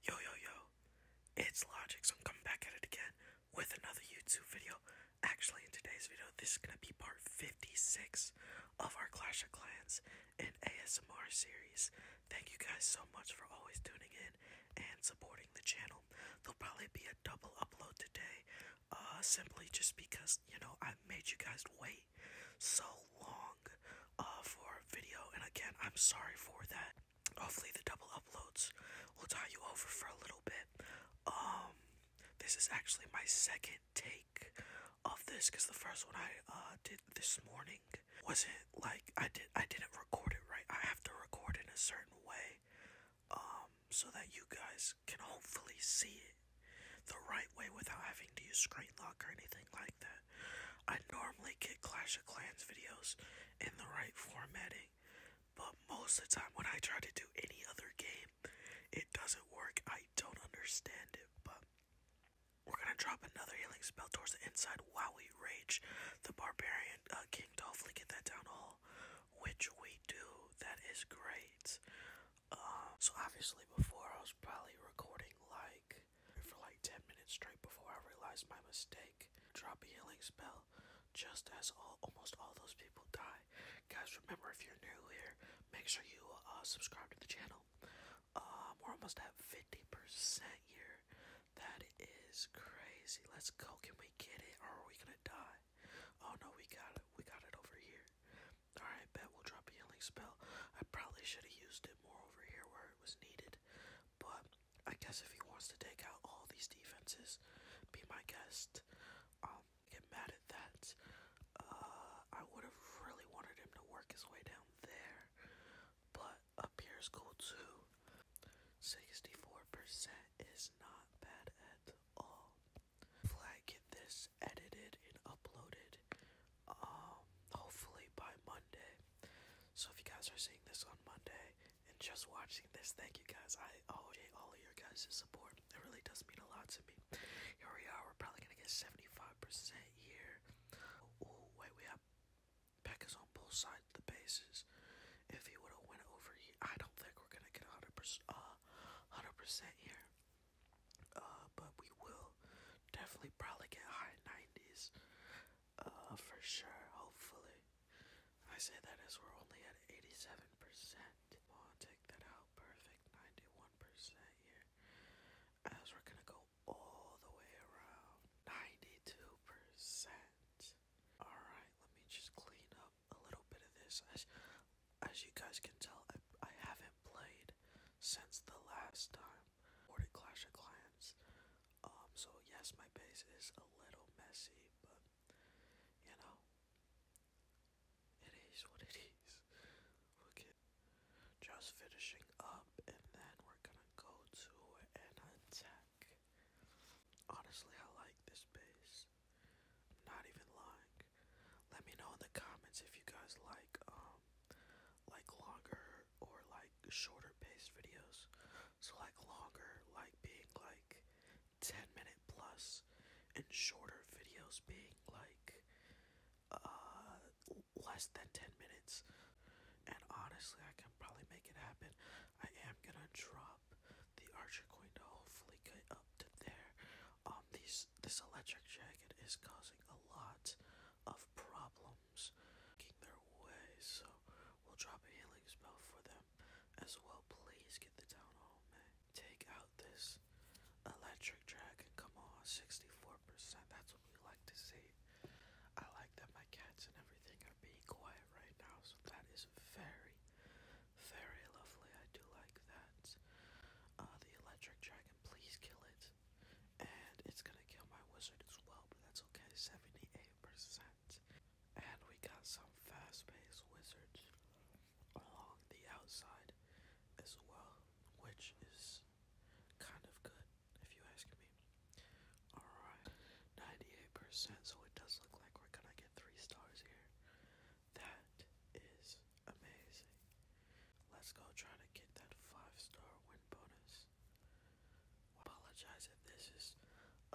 Yo yo yo, it's Logic, so I'm coming back at it again with another YouTube video. Actually, in today's video, this is gonna be part 56 of our Clash of Clans and ASMR series. Thank you guys so much for always tuning in and supporting the channel. There'll probably be a double upload today, uh, simply just because, you know, I made you guys wait so long uh, for a video, and again, I'm sorry for that. Hopefully the double uploads will tie you over for a little bit. Um, this is actually my second take of this because the first one I uh, did this morning wasn't like I did I didn't record it right. I have to record in a certain way um, so that you guys can hopefully see it the right way without having to use screen lock or anything like that. I normally get Clash of Clans videos in the right formatting, but most of the time when I try to do any other game, it doesn't work. I don't understand it, but we're gonna drop another healing spell towards the inside while we rage the barbarian uh, King to hopefully get that down all, which we do. That is great. Uh, so obviously before I was probably recording like for like 10 minutes straight before I realized my mistake. Drop a healing spell just as all, almost all those people die. Guys, remember if you're new here, make sure you uh, subscribe to the channel. Um, we're almost at 50% here. That is crazy. Let's go. Can we get it or are we gonna die? Oh no, we got it. We got it over here. Alright, bet we'll drop a healing spell. I probably should have used it more over here where it was needed. But I guess if he wants to take out all these defenses, be my guest. Um, get mad at that. Uh, I would have really wanted him to work his way down there, but up cool too. 64% is not bad at all. If get this edited and uploaded, um, hopefully by Monday, so if you guys are seeing this on Monday and just watching this, thank you guys. I owe you all of your guys' support. It really does mean a lot to me. Here we are. We're probably gonna get 75% here. Oh wait, we have Pekka's on both sides of the bases. If he would have went over I don't think we're gonna get 100%. Uh, 100% here. Uh, but we will definitely probably get high 90s. Uh, for sure, hopefully. I say that as we're only at 87%. take that out. Perfect, 91% here. As we're gonna go all the way around. 92%. Alright, let me just clean up a little bit of this. As, as you guys can tell, I, I haven't played since the last time or to Clash of Clans. Um, so yes, my base is a little messy, but you know, it is what it is. Okay, just finishing up, and then we're gonna go to an attack. Honestly, I like this base. not even lying. Let me know in the comments if you guys like um like longer or like shorter based videos. So like longer, like being like 10 minute plus, and shorter videos being like uh, less than 10 minutes. And honestly, I can probably make it happen. I am gonna drop the Archer Going to hopefully get up to there. Um, these this electric jacket is causing a lot of problems homes, making their way, so we'll drop a healing spell for them as well. Please get the town hall, man. Take out this electric dragon. Come on, 64%. That's what we like to see. I like that my cats and everything are being quiet right now, so that is very, very lovely. I do like that. Uh, the electric dragon, please kill it. And it's gonna kill my wizard as well, but that's okay. 78 percent and we got some fast-paced wizards along the outside as well, which is kind of good if you ask me. Alright, 98%, so it does look like we're gonna get three stars here. That is amazing. Let's go try to get that five star win bonus. I apologize if this is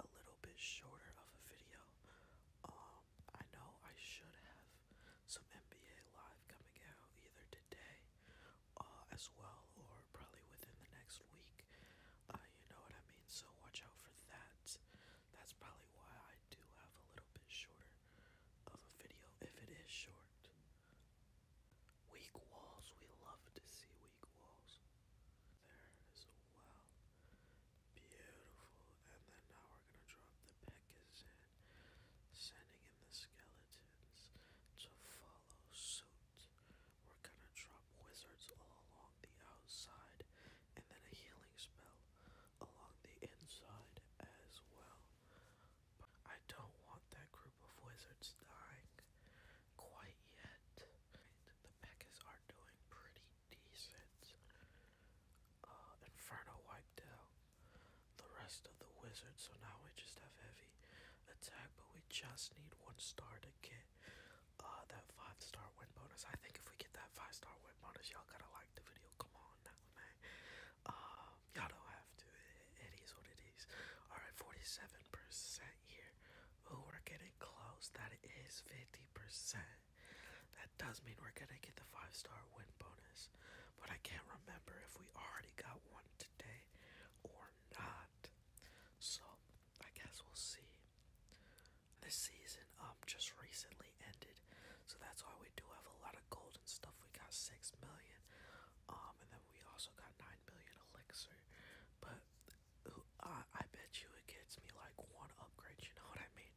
a little bit shorter of a video. Um, I know I should have some NBA Live coming out either today uh, as well or probably within the next week. Uh, you know what I mean? So watch out for that. That's probably why I do have a little bit shorter of a video if it is short. Weak walls, we love to see walls. There is a well. Beautiful. And then now we're going to drop the Pekkas in, sending in the skeletons to follow suit. We're going to drop wizards all along the outside, and then a healing spell along the inside as well. I don't want that group of wizards dying quite yet. The Peccas are doing pretty decent. Uh, Inferno wiped out the rest of the wizards, so now we just have heavy attack, but we just need one star to get uh, that five star win bonus. I think if we get that five star win bonus, y'all gotta like the video. Come on now, man. Uh, y'all don't have to. It, what it is. All right, 47% here. Oh, we're getting close. That is 50%. That does mean we're gonna get the five star win bonus. But I can't remember if we already got one today or not. So I guess we'll see. This season um just recently ended. So that's why we do have a lot of gold and stuff. We got six million. Um and then we also got nine million elixir. But uh, I bet you it gets me like one upgrade, you know what I mean?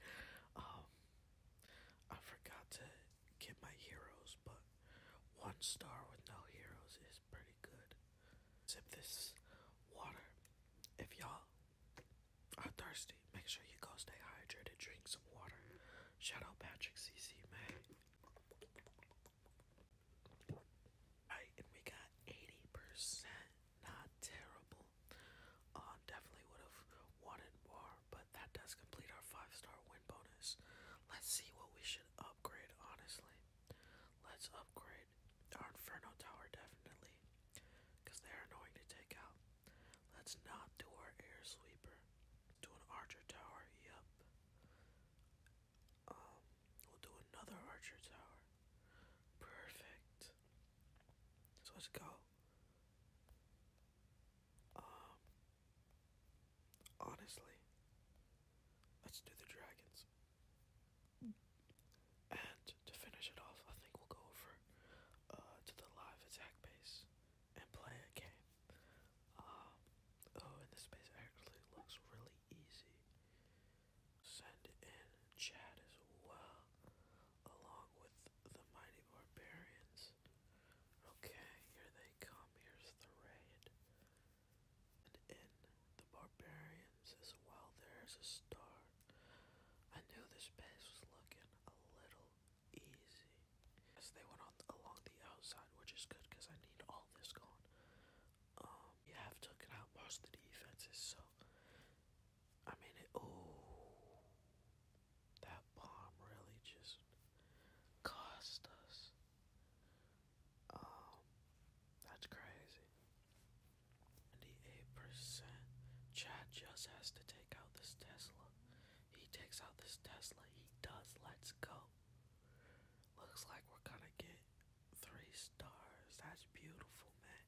Um, I forgot to get my heroes, but one star with no heroes is pretty good. Sip this water. If y'all are thirsty, make sure you go stay hydrated, drink some water. Shout out Patrick CC, May. Right, and we got 80%. Not terrible. Uh, definitely would have wanted more, but that does complete our five star win bonus. Let's see what we should upgrade, honestly. Let's upgrade our Inferno Tower, definitely, because they're annoying to take out. Let's not do our Air Sweeper. Do an Archer Tower, yep. Um, we'll do another archer tower. Perfect. So let's go. Um, honestly, let's do the dragons. And to finish it off, I think we'll go over uh, to the live attack base and play a game. Um, oh, and this base actually looks really easy. Send in Chad as well, along with the mighty barbarians. Okay, here they come. Here's the raid. And in the barbarians as well, there's a star. I knew this base was looking a little easy. Yes, they went on along the outside, which is good because I need all this gone. Um, you have taken out most the defenses, so I mean Oh, that bomb really just cost us. Um, that's crazy. Ninety-eight percent. Chad just has to take out this Tesla. He takes out this Tesla. He does. Let's go. Looks like we're gonna get Three stars. That's beautiful, man.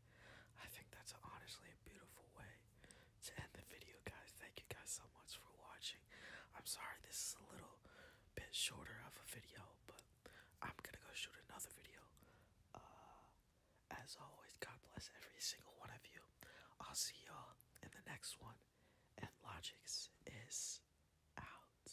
I think that's honestly a beautiful way to end the video, guys. Thank you guys so much for watching. I'm sorry this is a little bit shorter of a video, but I'm gonna go shoot another video. Uh, as always, God bless every single one of you. I'll see y'all in the next one. And Logics is out.